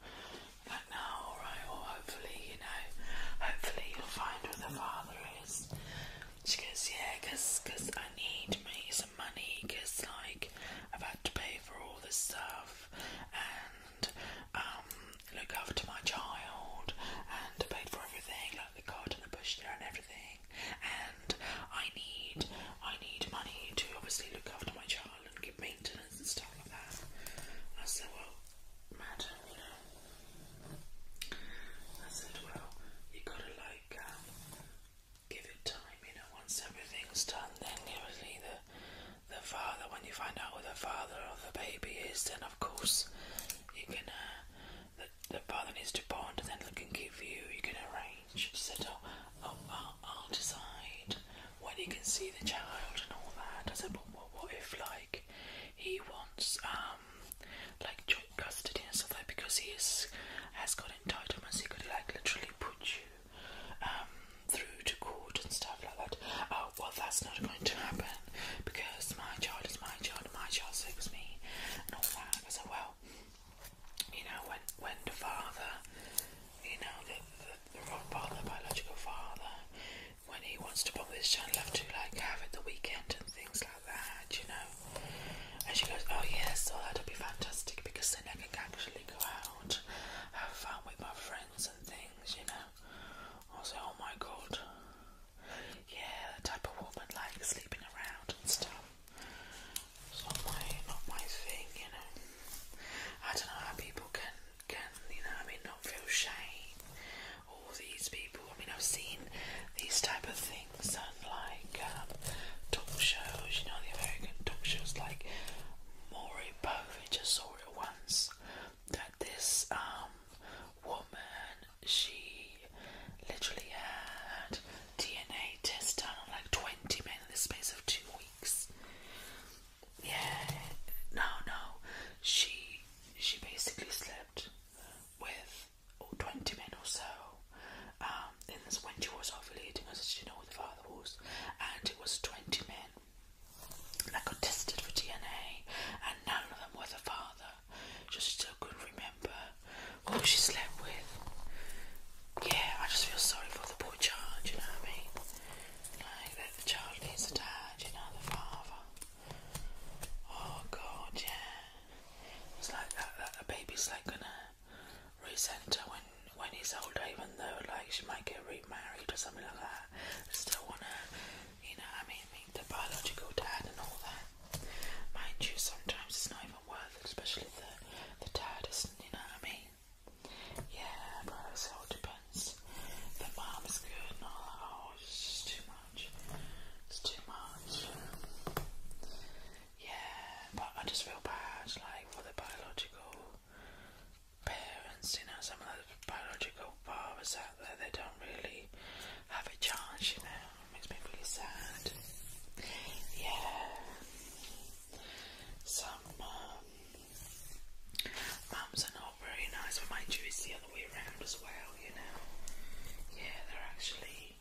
Speaker 1: Like now, alright, well hopefully, you know, hopefully you'll find where the father is. She goes, yeah, cause, I need me some money, cause like, I've had to pay for all this stuff, and, um, look after my child, and I paid for everything, like the cot and the pushchair and everything, and I need, I need money to obviously look after my child and give maintenance and stuff like that. I said, well, madam, you know, I said, well, you gotta like um, give it time, you know, once everything's done, then obviously the the father, when you find out who the father of the baby is, then of course you can, uh, the, the father needs to bond and then look and give you, you can arrange, said, oh, oh, I'll, I'll decide when he can see the child and all that. I said, but what, if like he wants um like joint custody and stuff like because he is, has got entitlements. He could like literally put you um, through to court and stuff like that. Oh, well, that's not going to happen because my child is my child. My child saves me and all that. I said, well, you know when when the father, you know the the wrong father, biological father, when he wants to bump this channel up to like have it the weekend and things like that, you know. And she goes, Oh, yes, well, oh, that'll be fantastic because then I can actually go out, have fun with my friends and things, you know. I was like, Oh my god, yeah, that type of woman like sleeping around and stuff. It's not my, not my thing, you know. I don't know how people can can, you know, I mean, not feel shame. All these people, I mean, I've seen these type of things on like um, talk shows, you know, the American talk shows like Maury Povich. just saw it once that this um woman, she literally had DNA tests done on like 20 men in the space of two weeks yeah, no, no, she she basically slept with 20 men or so. Um, then, when she was ovulating, because she didn't know the father was, and it was 20 men I got tested for DNA, and none of them were the father. She still couldn't remember who she slept with. Yeah, I just feel sorry for the poor child, you know what I mean? Like that the child needs a dad, you know, the father. Oh god, yeah. It's like that, that the baby's like gonna resent her when when he's older, even though like she might get remarried or something like that. I still wanna, you know, I mean, meet the biological dad and all that. Mind you, sometimes it's not even worth it, especially the the dad isn't, you know what I mean? Yeah, bro, so it depends. The mom's good and all oh, it's too much. It's too much. Yeah, but I just feel bad, like, for the biological parents, you know, some of the biological fathers out there, they don't really have a chance, you know, it makes me really sad. Yeah. Some um, Mums are not very nice when my Jew the other way around as well, you know. Yeah, they're actually,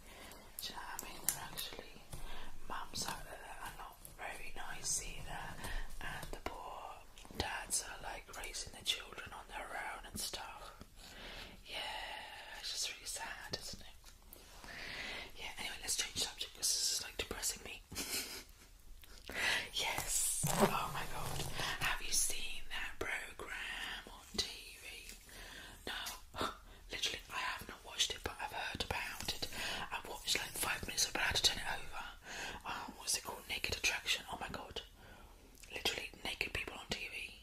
Speaker 1: do I mean? They're actually, mums are, are not very nice either, and the poor dads are like raising the children on their own and stuff. Yeah, it's just really sad, isn't it? Yeah, anyway, let's change subject because this is like depressing me. [laughs] Yes. Oh my god. Have you seen that program on TV? No. [gasps] Literally, I have not watched it, but I've heard about it. I watched like five minutes, but I to turn it over. Um, what's it called? Naked Attraction. Oh my god. Literally, naked people on TV.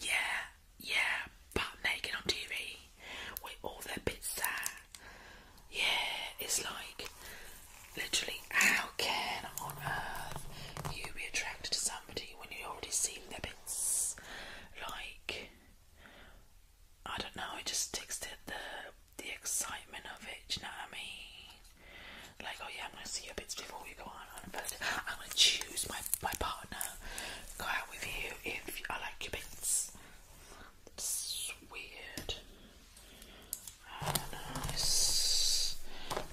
Speaker 1: Yeah, yeah, but naked on TV with all their bits sad. Yeah, it's like literally, how can on earth you be attracted to somebody when you already see their bits? Like, I don't know. It just takes the the, the excitement of it. you know what I mean? Like, oh yeah, I'm gonna see your bits before we go on on first. I'm gonna choose my my partner. Go out with you if I like your bits. It's weird nice.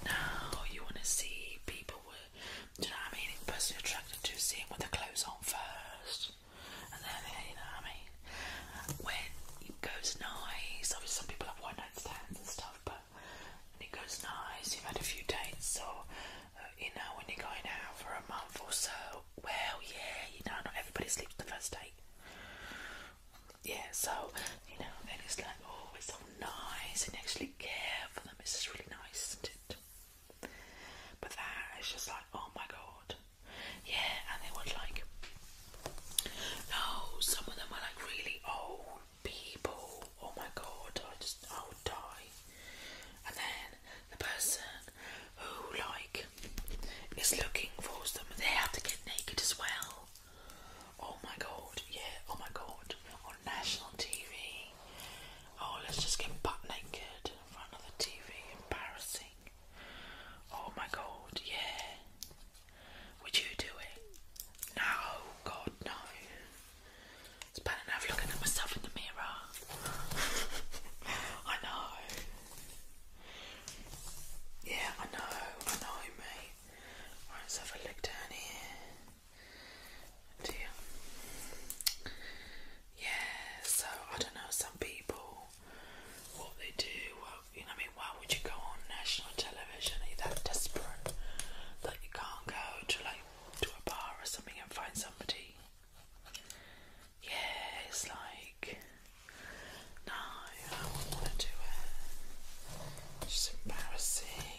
Speaker 1: Now you want to see people with, do I mean? The person you attracted to, seeing with the clothes on first, and then you know I mean. When it goes nice, obviously some people have one night stands and stuff, but when it goes nice, you've had a few dates, or uh, you know when you're going out for a month or so. Well, yeah, you know not everybody sleeps the first date yeah, so you know, and it's like, oh, it's so nice, and actually care for them. It's just really nice, isn't it? But that is just like, oh my god, yeah. And they were like, no, some of them were like really old people. Oh my god, I just I would die. And then the person who like is looking for them. They have to get naked as well. Oh my god, yeah, oh my god. On national TV. Oh, let's just get butt naked in front of the TV. Embarrassing. Oh my god, yeah. Would you do it? No, god, no. It's bad enough looking at myself in the mirror. [laughs] I know. Yeah, I know, I know, mate. Right, let's have a look down here. Dear. Yeah, so I don't know, some people, what they do, well, you know, I mean, why would you go on national television? Are that desperate that you can't go to, like, to a bar or something and find somebody? yeah, it's like, no, I wouldn't want to do it. It's just embarrassing.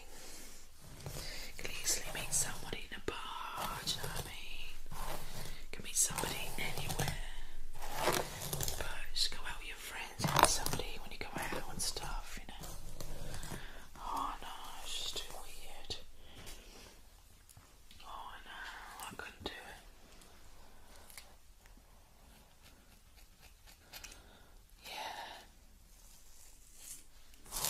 Speaker 1: can easily meet somebody in a bar, you know what I mean? can meet somebody anywhere. But just go out with your friends, meet somebody when you go out and stuff, you know. Oh no, it's just too weird. Oh no, I couldn't do it. Yeah. Are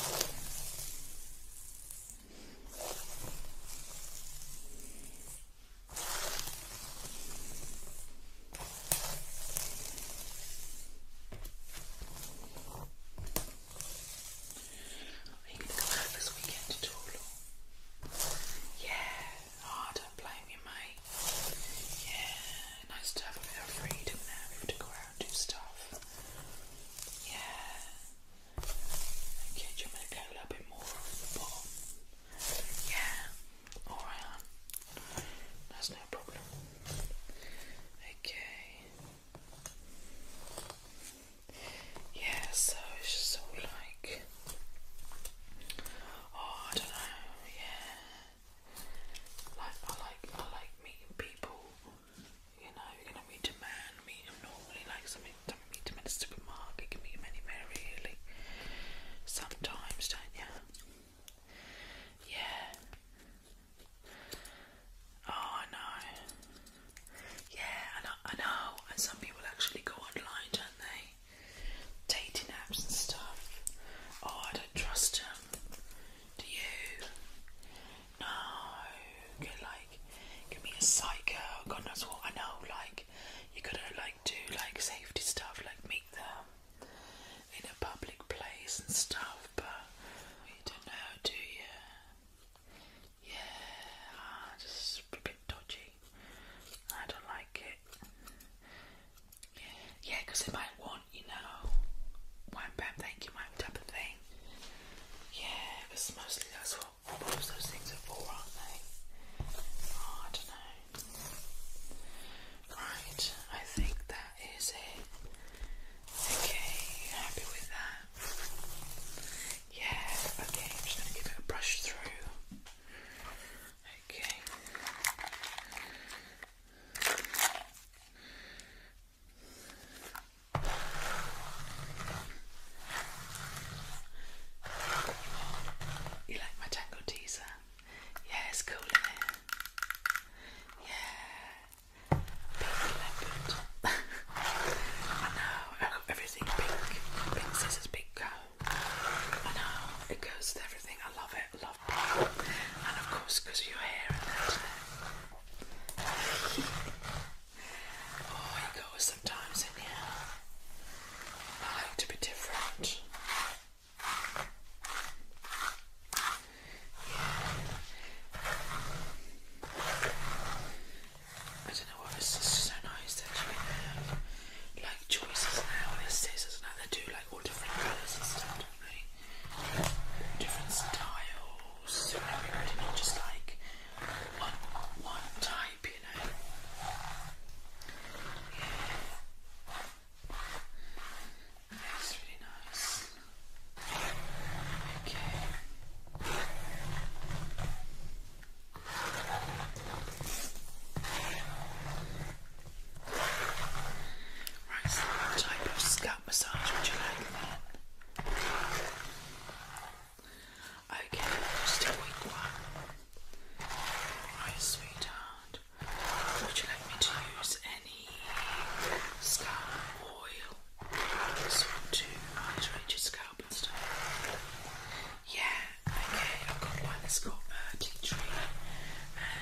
Speaker 1: you going to come this weekend at all? Yeah. I don't blame you, mate. Yeah, nice to have a bit of freedom now to go out and do stuff. Yeah. Okay, do you want a little bit more off the bottom? Yeah. Alright, That's no problem. Okay. Yeah, so it's just all like Oh, I don't know. Yeah, like I like I like meeting people. You know, you're meet a man, meet normally, like something. Don't meet him in a supermarket. can meet anywhere really. Sometimes, don't Yeah. Oh, I Yeah, I know. I know. And some people actually go online, don't they? dating apps and stuff. Oh, I don't trust him. Do you? No. like, give me a psycho. God knows what. I know. Like, you got like do like safety stuff. Like meet them in a public place and stuff. But you don't know, do you? Yeah, just a bit dodgy. I don't like it. Yeah, because they might want, you know, one bam, thank you, ma'am, type of thing. Yeah, because mostly that's what, what those things are for, aren't they? Oh, I don't know. Right, I think that is it. Okay, happy with that? Yeah, okay, just going to give it a brush through. Okay. You like my tango teaser? Yeah, it's cool in it. Yeah. Pink leopard. [laughs] I know, i got everything pink. Pink pink cow. I know, it goes with everything. I love it, I love pink. And of course, because of your hair and that. [laughs] oh, it goes sometimes in here. I like to be different it's just so nice that you have like choices now. There's scissors now. They do like all different colours and stuff, don't they? Different styles. So everybody not just like one one type, you know. Yeah. That's really nice. Okay. Right, so what type of scalp massage would you like then? Okay, just a weak one. Right, sweetheart. Would you like me to use any scalp oil? Sort to hydrate your scalp and stuff. Yeah, okay, I've got one that's got uh, tea tree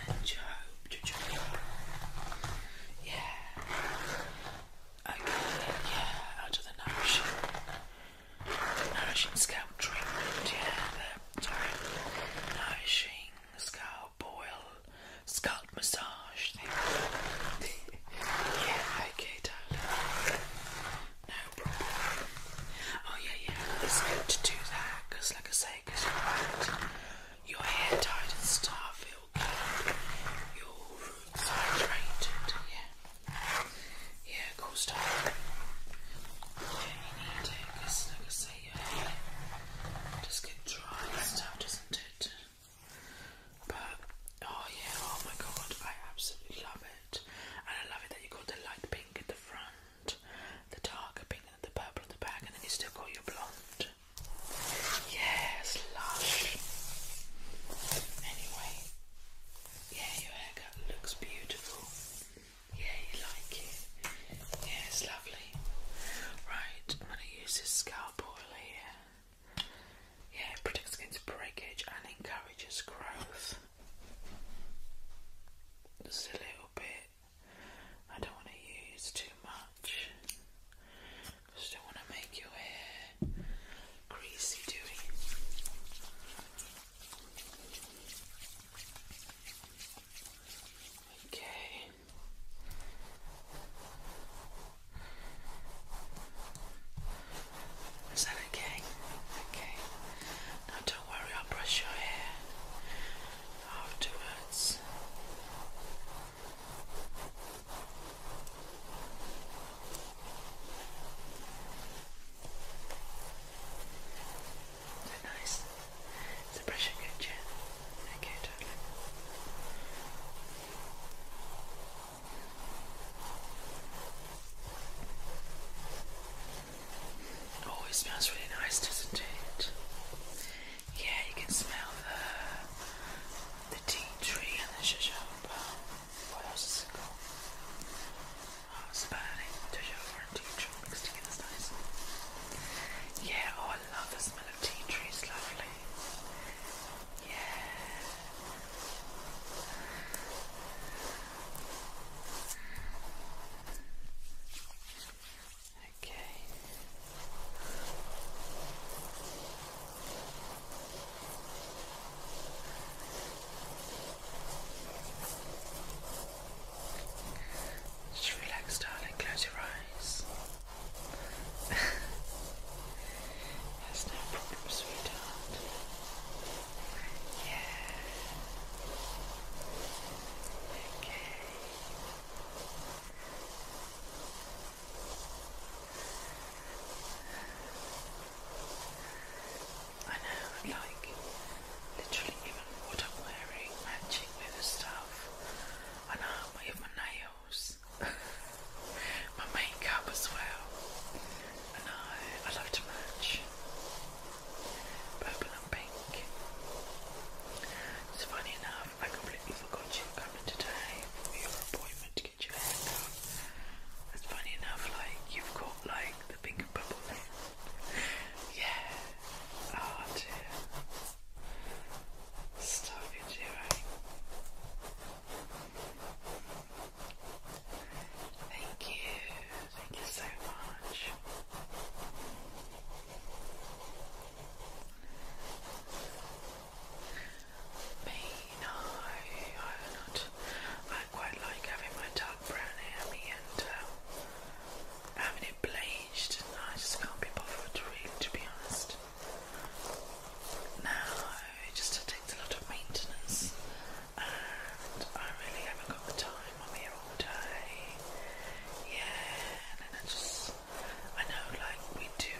Speaker 1: and jojoba. jojoba. Yeah. Okay, yeah, out of the nourishing, nourishing scalp treatment. Yeah, the sorry, nourishing scalp boil, scalp massage thing. [laughs] yeah, okay, darling. No problem. Oh yeah, yeah. It's good to do that because, like I say, because you're Your hair tied and stuff. It'll your roots hydrated. Yeah. Yeah, cool stuff. Yeah, you need it like I say, your hair just get dry and stuff, doesn't it? But oh yeah, oh my god, I absolutely love it, and I love it that you got the light pink the front, the darker pink, and the purple at the back, and then you still got your blonde. Yes, lush. Anyway, yeah, your haircut looks beautiful. Yeah, you like it. Yeah, lovely. Right, I'm going to use this scalp oil here. Yeah, it protects against breakage and encourages growth. Just a little bit. I don't want to use too much. Just don't want to make your hair greasy, do Okay. Is that okay? Okay. Now don't worry, I'll brush your hair afterwards. Is nice? Is the brushing good, Jen? Okay, darling. Oh, it always smells really nice, doesn't it? Yeah, you can smell the, the tea tree and the jojoba. What else is it called? Oh, it's about it. tea tree mixed together is nice. Yeah, oh, I love the smell of tea tree. It's lovely. Yeah. Okay. Just relax, darling. Close your eyes. [laughs] That's no problem, sweetheart. Yeah. Okay. I know, like, literally even what I'm wearing matching with the stuff. I know, even my nails, [laughs] my makeup as well. No, I love to match purple and pink. It's funny enough, I completely forgot you were coming today for your appointment to get your haircut. It's funny enough, like you've got like the pink and purple yeah. Oh dear. Stuff you do, Thank you. Thank you so much. Me, no, I'm not. I quite like having my dark brown hair, me, and um, having it bleached. I just can't be bothered, really, to be honest. No, it just takes a lot of maintenance and I really haven't got the time. I'm here all day. Yeah, and I just, I know like we do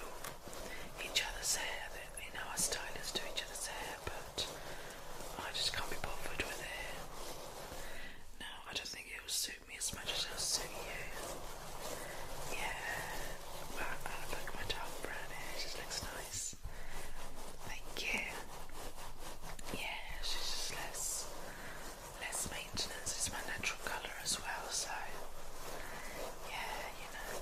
Speaker 1: each other's hair, you know, our stylists do each other's hair, but I just can't be bothered with it. No, I don't think it will suit me as much as it'll suit you. Yeah, but I uh, like my dark brown hair, it just looks nice yes. Thank you. Yeah, she's just less less maintenance. It's my natural colour as well, so yeah, you know.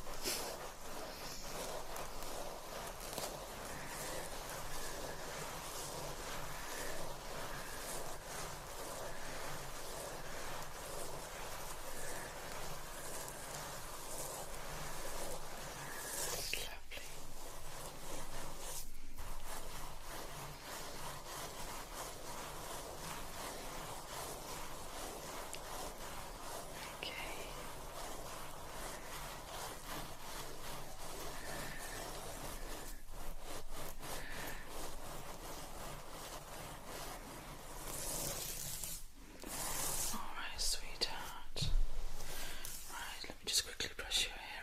Speaker 1: Okay. All right, sweetheart. Right, let me just quickly brush your hair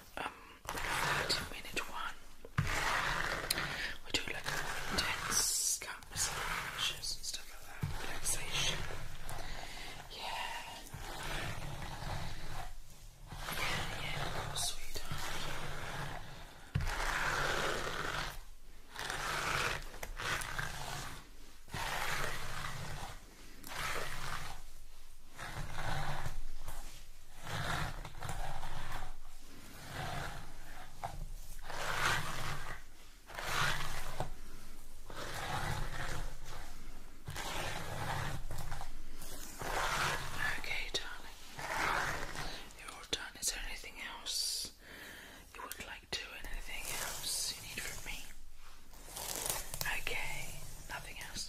Speaker 1: um, like a 30 minute one. We do like intense scalp and stuff like that, relaxation. Yeah. Yeah, yeah, oh, sweetheart. Okay, darling. You're all done. Is there anything else you would like to? Anything else you need from me? Okay, nothing else.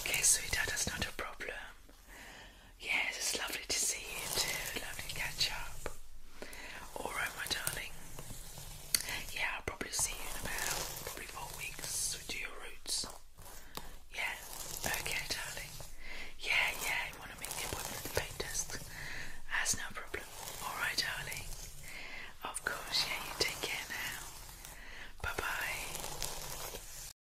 Speaker 1: Okay, sweetheart, that's not a problem. Yes, it's lovely to see you too. Lovely to catch up. Alright, my darling. Yeah, I'll probably see you in about probably four weeks. We do your roots. Yeah, okay, darling. Yeah, yeah, you want to make the appointment with the paint desk? That's no problem. Alright, darling. Of course, yeah, you take care now. Bye bye.